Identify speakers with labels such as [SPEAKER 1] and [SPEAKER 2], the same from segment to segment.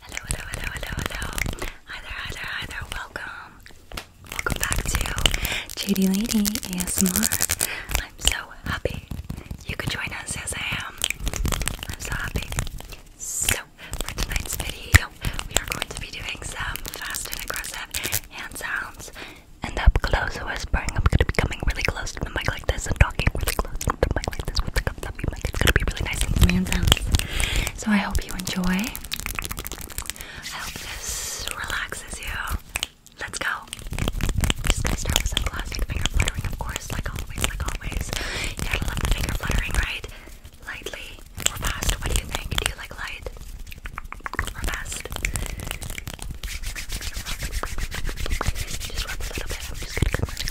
[SPEAKER 1] Hello, hello, hello, hello, hello. Hi there, hi there, hi there. Welcome. Welcome back to JD Lady ASMR. I'm so happy you could join us as I am. I'm so happy. So, for tonight's video, we are going to be doing some fast and aggressive hand sounds and up close whispering. I'm going to be coming really close the mic like this. I'm talking really close to the mic this with gonna be really nice and slam sounds. So I hope you enjoy. I hope this relaxes you. Let's go. Just gonna start with some classic finger fluttering, of course, like always, You gotta love the finger fluttering, right? Lightly or fast? What do you think? Do you like light or fast? Just rub a little bit. I'm just gonna come really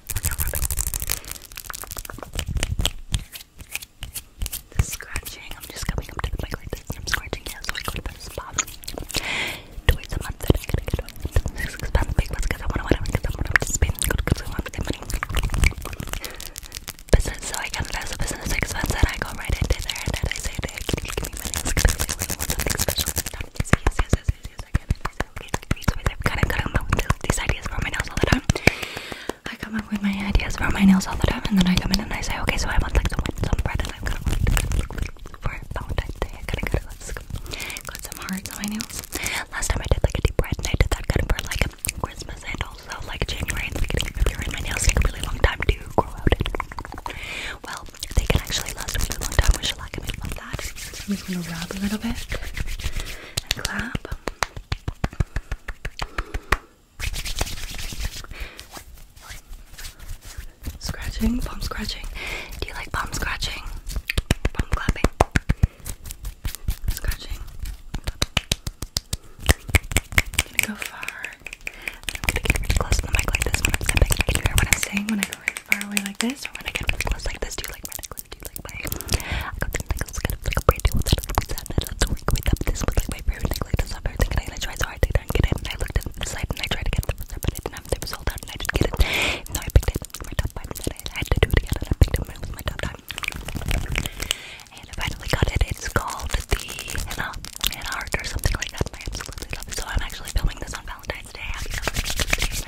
[SPEAKER 1] The scratching, I'm just coming up to the mic like this and I'm scratching yeah, so I go to the spa twice a month that I gotta get on six pounds big ones because I wanna wanna because I wanna participate in good because I want the money. Business, so I count it as a business expense and I go right into there and then I say, hey, can you give me money? Because I really want something special. Yes, yes, yes, yes, yes, because I get these, I've kind come up with these ideas for my nails all the time. I come up with my ideas for my nails all the time, and then I come in and I say, okay, so I want like the one somewhere that I've got for Valentine's Day. I gotta go, let's go. Got some hearts on my nails. Last time I did like a deep red, I did that kind for like Christmas and also like January and the beginning of My nails take a really long time to grow out. Well, they can actually last a long time with shellac I love that. So I'm just gonna rub a little bit clap. Scratching, palm scratching. Do you like palm scratching? Palm clapping. Scratching. I'm gonna go far. I'm gonna get close to the mic like this when i hear what I'm saying when I go really far away like this, or when I get really close like this. Do you like going to do like my, I got this necklace kind of like a brand new one that I was at, and I was going up this was like my favorite necklace of everything, and I tried so hard to not get it, and I looked at the site, and I tried to get it the first time, but I didn't have it, it was sold out, and I didn't get it, even though I picked it for my top five, and I had to do it again, and I picked it, and it was my top time. And I finally got it, it's called the Hannah, Hannah Art or something like that, and I absolutely love it, so I'm actually filming this on Valentine's Day, happy Valentine's Day,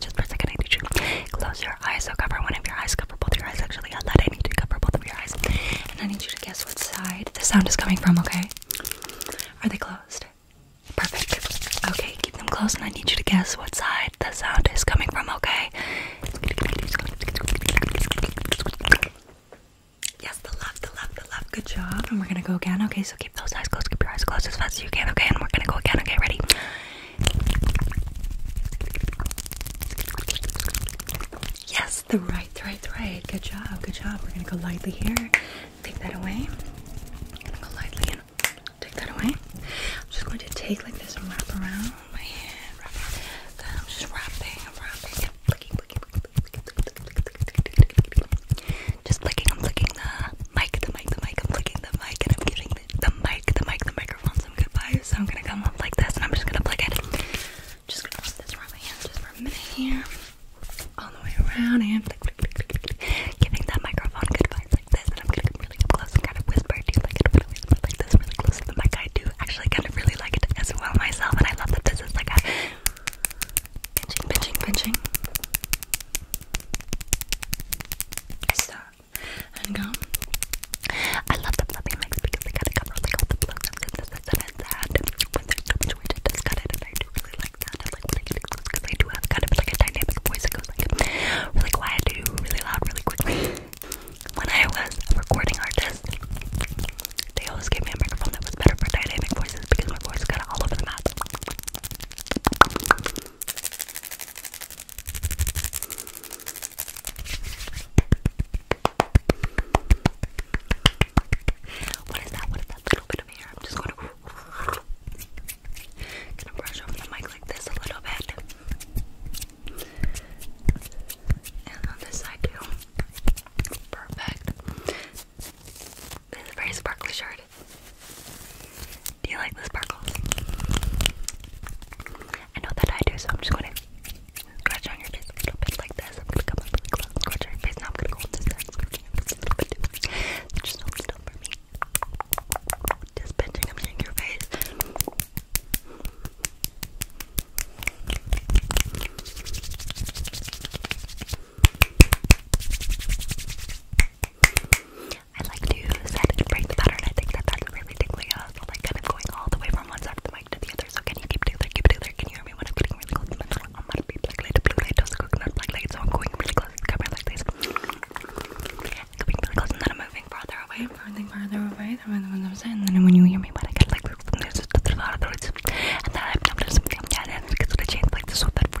[SPEAKER 1] just for a second, I need you to close your eyes. So cover one of your eyes, cover both your eyes. Actually, on that, I need to cover both of your eyes, and I need you to guess what side the sound is coming from. Okay? Are they closed? Perfect. Okay, keep them closed, and I need you to guess what side the sound is coming from. Okay? Yes, the left, the left, the left. Good job. And we're gonna go again. Okay, so keep those eyes closed. Keep your eyes closed as fast as you can. Okay, and we're gonna go again. Okay, ready? Yes, the right, right, right. Good job, good job. We're gonna go lightly here. Take that away. I'm gonna go lightly and take that away. I'm just going to take like this and wrap around my hand. I'm just wrapping, wrapping just flicking, I'm licking the mic, the mic, the mic, I'm flicking the mic, and I'm giving the, the mic, the mic, the microphone some good vibes. So I'm gonna come up like this, and I'm just gonna plug it. Just gonna put this around my hands just for a minute here, all the way around, and click, click, click, giving that microphone good vibes like this. And I'm gonna come really up close and kind of whisper. Do you like it? Really whisper like this, really close to the mic. I do actually kind of really like it as well myself, and I love that this is like a pinching, pinching, pinching. Stop and go. I love the fluffy mix because they kind of cover like all the blows and things that it's had when they're situated it's got it and I do really like that. I like when I get it because I do have kind of like a dynamic voice that goes like really quiet to really loud really quickly. When I was a recording artist, they always gave me a microphone that was better for dynamic voices because my voice got all over the map. What is that? What is that little bit of hair? I'm just gonna gonna brush over the mic like this a little bit, and on this side too. Perfect. It's very sparkly shirt. Do you like the sparkles? I know that I do, so I'm just going to scratch on your face a little bit like this. i scratch on your face. Now I'm going to go a little bit. for me. Just pinching, your face. I like to set and break the pattern. I think that that's really tingly. Uh, so like kind of going all the way from one side of the mic to the other. So can you keep doing that? Keep doing that? Can you hear me when I'm getting really close? I'm gonna be black light, blue light, toast coconut, black light. So I'm going really close to the camera like this. Coming really close and then I'm moving farther away. Moving farther away. And then when you hear me, when I get like this, and then I'm just yeah, and it gets to the chain like this so that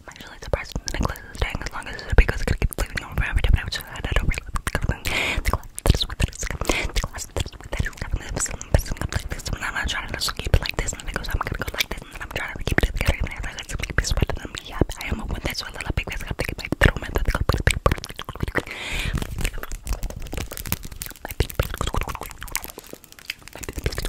[SPEAKER 1] I'm actually surprised the necklace is staying as long as it is because it's gonna keep sleeping on forever. But I just had it over the glass that is with that is the glass that is with that is having this messing up like this. And I'm trying to just keep it like this, and then it goes. I'm gonna go like this, and then I'm trying to keep it together. And I like to keep it sweating on me. Yeah, I am a one that's a little big because I have to get my little man that goes. I I'm gonna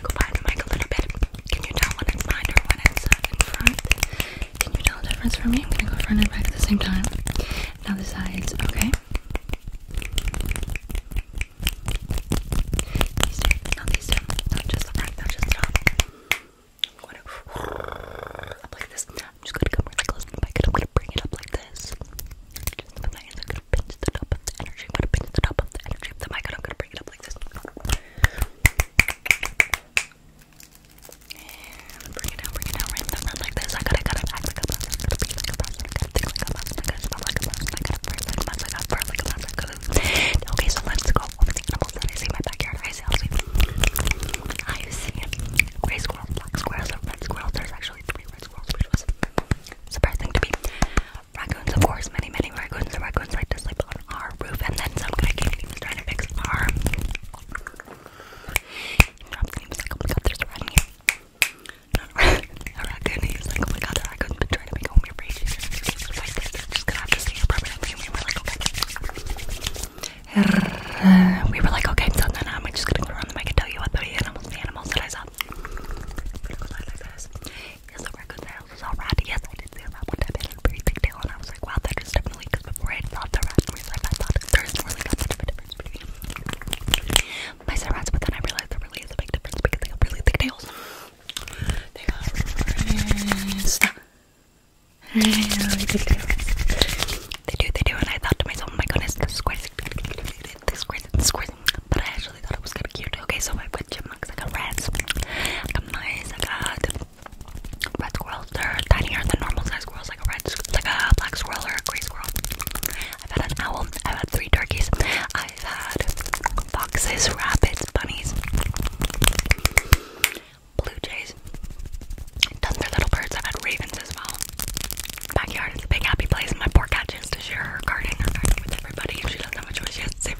[SPEAKER 1] go behind the mic a little bit. Can you tell when it's behind or when it's uh, in front? Can you tell the difference for me? I'm gonna go front and back at the same time. Now the sides, okay? These two, not these two, not just the front, not just the top. I'm going to up like this. I'm just going to come really close to the mic I'm going to bring it up like this. Just the nice. I'm going to pinch the top of the energy. I'm going to pinch the top of the energy of the mic I'm going to bring it up like this. And bring it down, bring it down, right down, like this. I gotta, gotta act like a I gotta be like a I gotta think like a I gotta smell like a I gotta I gotta I gotta. Okay, so let's go over animals that I see in my backyard. I I see gray squirrels, black squirrels, and red squirrels. There's actually three red squirrels, which was surprising to me. Raccoons, of course, many, many raccoons. The raccoons like to sleep on our roof, and then some guy came and was trying to fix our. He was like, oh my god, there's a rat here. a raccoon. He was like, oh my god, the raccoon trying to make a home here Just gonna have to stay here permanently. And we were like, okay we were like, okay, I'm done then. I'm just gonna go around and I can tell you what the animals, the animals that I saw. Yes, the raccoon tails is all Yes, I did see that one time. It had tail, and I was like, wow, that is definitely because before I thought the rat was like, I there's really not much of a difference between my rats, but then I realized there really is a big difference because they have really thick tails they do. They do, and I thought to myself, oh my goodness, the squares, the squares, But I actually thought it was kind of cute. Okay, so I put chipmunks, like got rats, I got mice, I got red squirrels. They're tinier than normal size squirrels, like a red, like a black squirrel or a gray squirrel. I've had an owl, I've had three turkeys, I've had foxes, rabbits, bunnies blue jays, tons of little birds. I've ravens as well. Backyard is a big happy place. My poor cat she to share her garden, with everybody. she doesn't have a choice, she has to share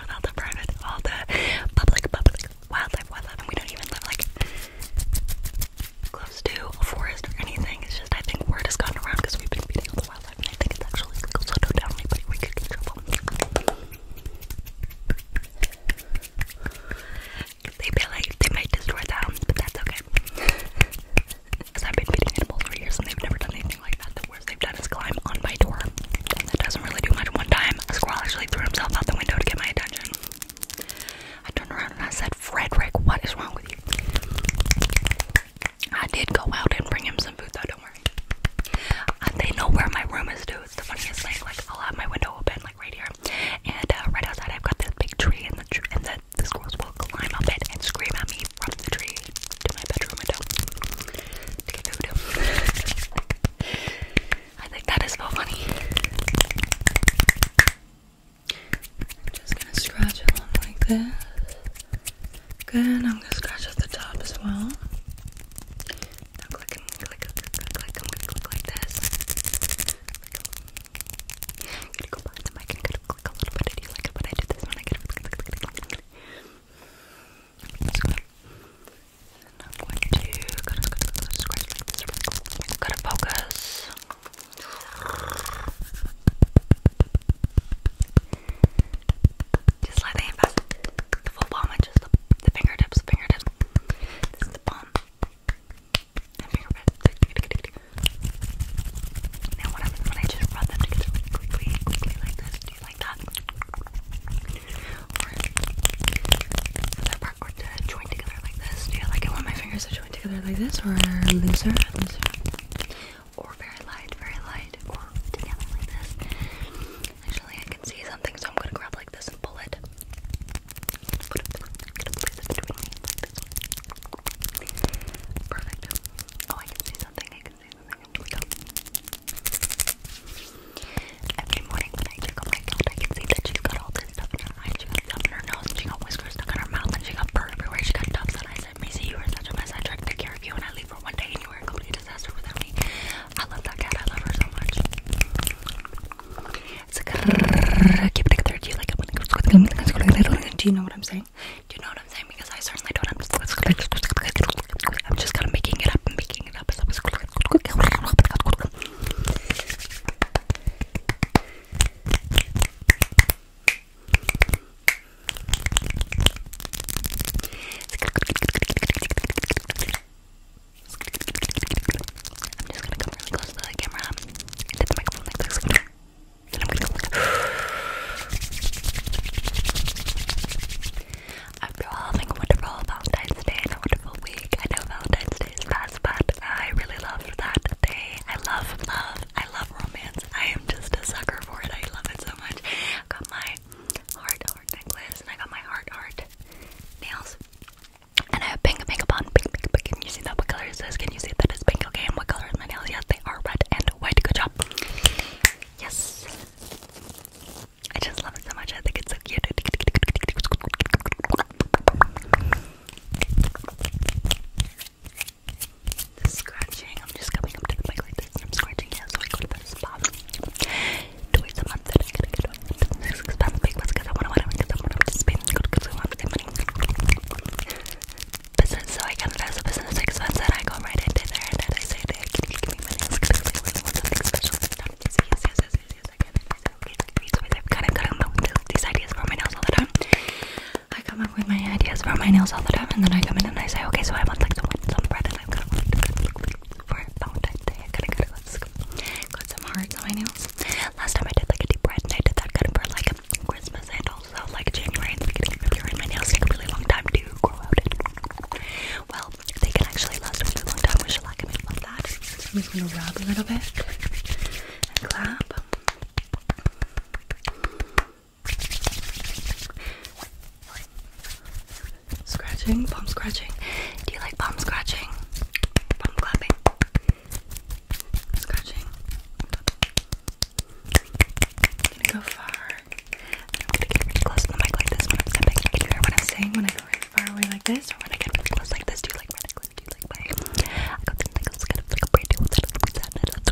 [SPEAKER 1] with all the private, all the public, public wildlife, wildlife. And we don't even live like close to a forest or anything. It's just I think word has gotten around because we've been feeding all the wildlife, and I think it's actually illegal. So don't tell anybody we could get they feel they might destroy the house, but that's okay. Because I've been feeding animals for years and they've never done anything like that. The worst they've done is climb on my door. That doesn't really do much. One time, a squirrel actually threw himself out the window to get my attention. I turned around and I said, Frederick, what is wrong with you? I did go out and bring him some food though, don't worry. Uh, they know where my room is dude. It's the funniest thing. Like, I'll have my window open, like right here, and uh, right outside, I've got this big tree, and the and the, the squirrels will climb up it and scream at me from the tree to my bedroom window I think that is so funny. I'm just gonna scratch along like this. then I'm gonna scratch at the top as well click, click, click, click. I'm gonna click like this. I'm gonna go behind the mic and kind click a little bit. I do like it I do this when I get click, click, click, click, click. It's I'm going to kind of scratch like this. Gotta focus. Just let the hand The full palm, just the, fingertips, fingertips. This is the palm. Um, now what when I just rub them together quickly, quickly like this? like that? Or for part, or to join together like this? Do you like it when my fingers are joined together like this, or looser, looser? Or very light, very light, or together like this? Actually, I can see something, so I'm gonna grab like this and pull it. Oh, I can see something. I can see something. Here we go. Every morning when I check on oh my count, I can see that she's got all this stuff in her eyes. She got stuff in her nose. She got whiskers stuck in her mouth, and she got burn everywhere. She got tufts. And I said, Macy, you are such a mess. I tried to care of you, and I leave for one day, and you were a complete disaster without me. I love that cat. I love her so much. do you like it? Do you know what I'm saying? Do you know what I'm saying? Because I certainly don't. I'm just, kind of making it up making it up I'm just gonna come really close to the camera and hit the microphone like this. Then I'm gonna go After all, having a wonderful Valentine's Day and a wonderful week. I know Valentine's Day is past, but I really loved that day. I love love. I love romance. I am just a sucker for it. I love it so much. I got my heart heart necklace and I got my heart heart nails. And I have pink, pink upon pink, pink, pink. Can you see that? What color is this? Can you see that it's pink? Okay, what color are my nails? Yes, they are red and white. Good job. Yes. I just love it so much. I think it's so cute. scratching. I'm just coming up to the mic like this and I'm scratching. Yeah, so I go to the spa twice a month that I gotta get one. Because I'm a big one, because I want to win, because I want to spend good, because I want to money. Business, so I kind of has a business expense that I go right into there and then I say, hey, can you give me money? Because I really want something special this time. Yes, yes, yes, yes, yes, yes, I can. Okay, so I've kind of gotten these ideas for my nails all the time. I come up with my ideas for my nails all the time, and then I come in and I say, okay, so I want like some, some bread, and I'm gonna want to look for Valentine's Day. I gotta, gotta go let some hearts on my nails. Last time I did like a deep red, and I did that kind of for like Christmas and also like January and the beginning of really long time to grow out. Well, they can actually last a really long time. We should like them that. am just gonna rub a little bit and clap. Scratching, palm scratching. Do you like palm scratching? Palm clapping. Scratching. gonna go far. I'm gonna get really close to the mic like this when I'm stepping. Can you hear what I'm saying when I go really far away like this? Or when I get really close like this? Do you like my necklace? Do you like my I got the necklace kind of like a brand new one that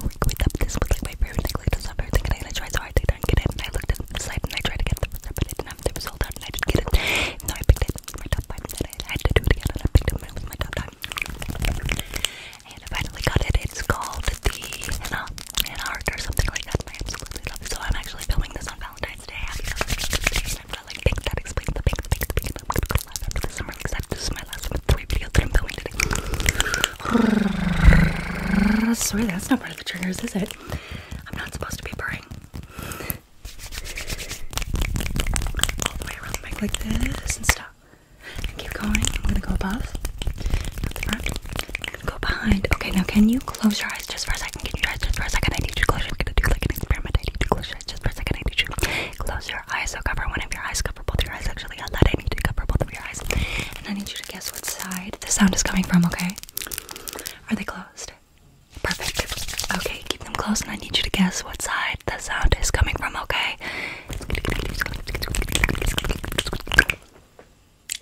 [SPEAKER 1] looks with up this was like my favorite necklace to stop everything and I tried so hard to get it and I looked at the side and I tried to get the but it didn't have the result and I didn't it. Even though I picked it my top five said I had to do it again and I picked up my, my top five. And I finally got it. It's called the Hannah, Hannah Heart or something like that. I absolutely love it. So I'm actually filming this on Valentine's Day. Happy Valentine's Day. And I'm not like pink. That explains the pink, the pink, the pink. And I'm going to go live after the summer because that, this is my last three videos that I'm filming today. Sorry, that's not part of the triggers, is it? I'm not supposed to be purring all the way around the back like this and stop. And keep going. I'm gonna go above, not front. go behind. Okay, now can you close your eyes just for a second? Can you eyes just for a second? I need you to close. I'm I need you to close your eyes just for a second. I need you to close your eyes. So cover one of your eyes. Cover both of your eyes. Actually, I that I need you to cover both of your eyes. And I need you to guess what side the sound is coming from. Okay? Are they closed? Perfect. Okay, keep them close, and I need you to guess what side the sound is coming from, okay?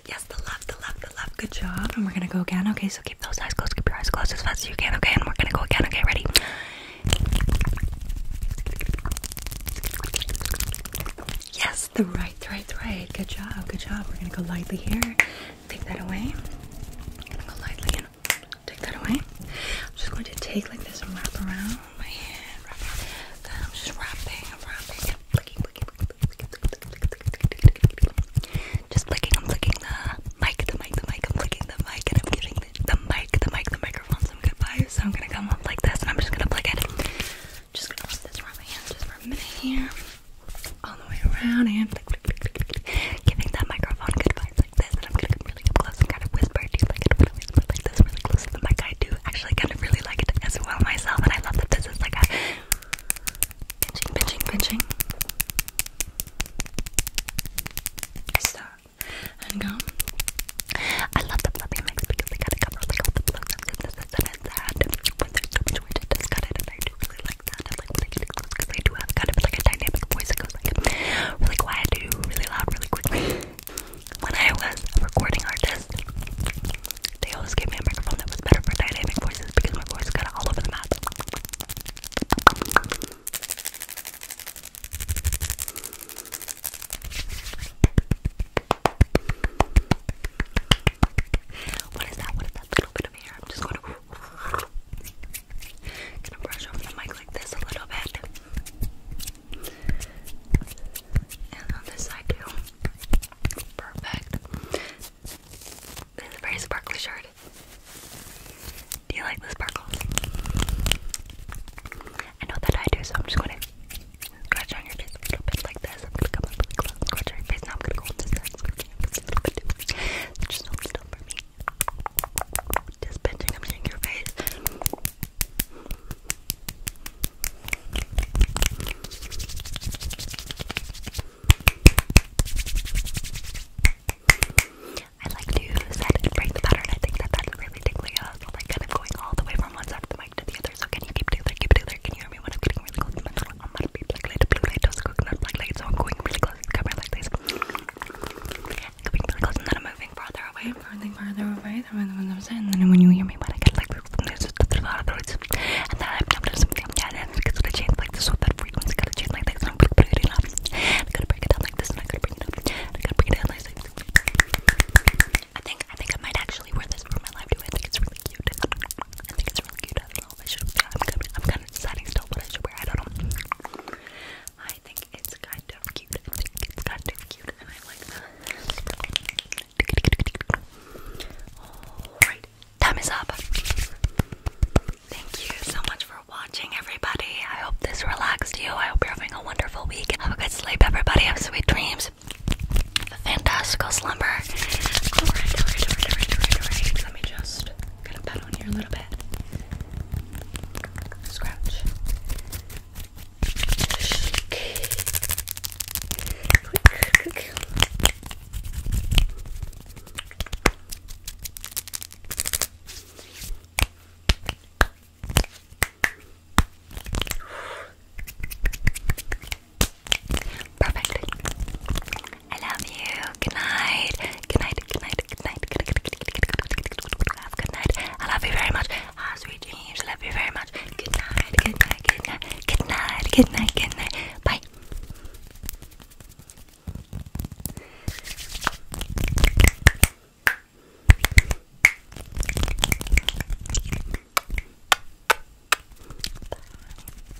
[SPEAKER 1] Yes, the left, the left, the left. Good job. And we're gonna go again, okay? So keep those eyes closed, keep your eyes closed as fast as you can, okay? And we're gonna go again, okay? Ready? Yes, the right, the right, the right. Good job, good job. We're gonna go lightly here take that away. I'm gonna go lightly and take that away. I'm just going to take like this and wrap around my hand. Wrap around. Then I'm just wrapping, I'm wrapping, and flicking, flicking, flicking, flicking, Just flicking, I'm flicking the mic, the mic, the mic, I'm flicking the mic, and I'm giving the, the mic, the mic, the microphone some good vibes. So I'm gonna come up like this, and I'm just gonna flick it. Just gonna rub this around my hand just for a minute here all the way around and giving that microphone a good vibe like this. And I'm gonna come really up close and kind of whisper. Do you like it when I whisper like this really close to the mic? I do actually kind of really like it as well myself, and I love that this is like a pinching, pinching, pinching. Stop and go. I love the fluffy mix because they got a cover like all the blows and this and that. When there's so much weight, it does cut it, and really like they really quiet really loud, really quickly. When I was recording artist, they always gave me a microphone that was better for dynamic voices because my voice got all over the map. What is that? What is that little bit of I'm just going to gonna brush over the mic like this a little bit. And on this side too. Perfect. This very sparkly shirt. Do you like the sparkles? I know that I do, so I'm just gonna scratch on your face a little bit like this. I'm gonna come up close, scratch on your face. I'm gonna go on this side, scratch on your a little bit still for me. Just your face. I like to set and break the pattern. I think that that's really tingly up. Uh, like kind of going all the way from one side of the mic to the other. So can you keep it there? Keep it there. Can you hear me when I'm getting really close to my mouth? on that blue light, blue light, just So I'm going really close camera like this. going really close then I'm moving farther away, farther, farther away. And then when you hear me, but I get like this, and then I'm doing something. Yeah, and then it's gonna change like this. So that frequency gonna change like this. So I'm really, really, really loud. I'm gonna break it down like this, and I'm gonna bring it up. I'm gonna bring it down like this. I think I think I might actually wear this for my live too. I think it's really cute. I think it's really cute. I should I'm kind of, deciding still what I should wear. I don't know. I think it's kind of cute. I think it's kind of cute, and I like that. All right, time is up. Thank you so much for watching, everybody. I hope this relaxed you. I hope you're having a wonderful week. Have a good sleep, everybody. Have sweet dreams. Have fantastical slumber. Alright, alright, alright, alright, alright, alright. Let me just Gotta pat on here a little bit. Scratch. Perfect. I love you. Good night. Good night. Good night. Good night. Good night. Good night. I love you very much. Ah, sweet dreams. I love you very much. Good night. Good night. Good night. Good night. Good night. Good night. Bye. Bye.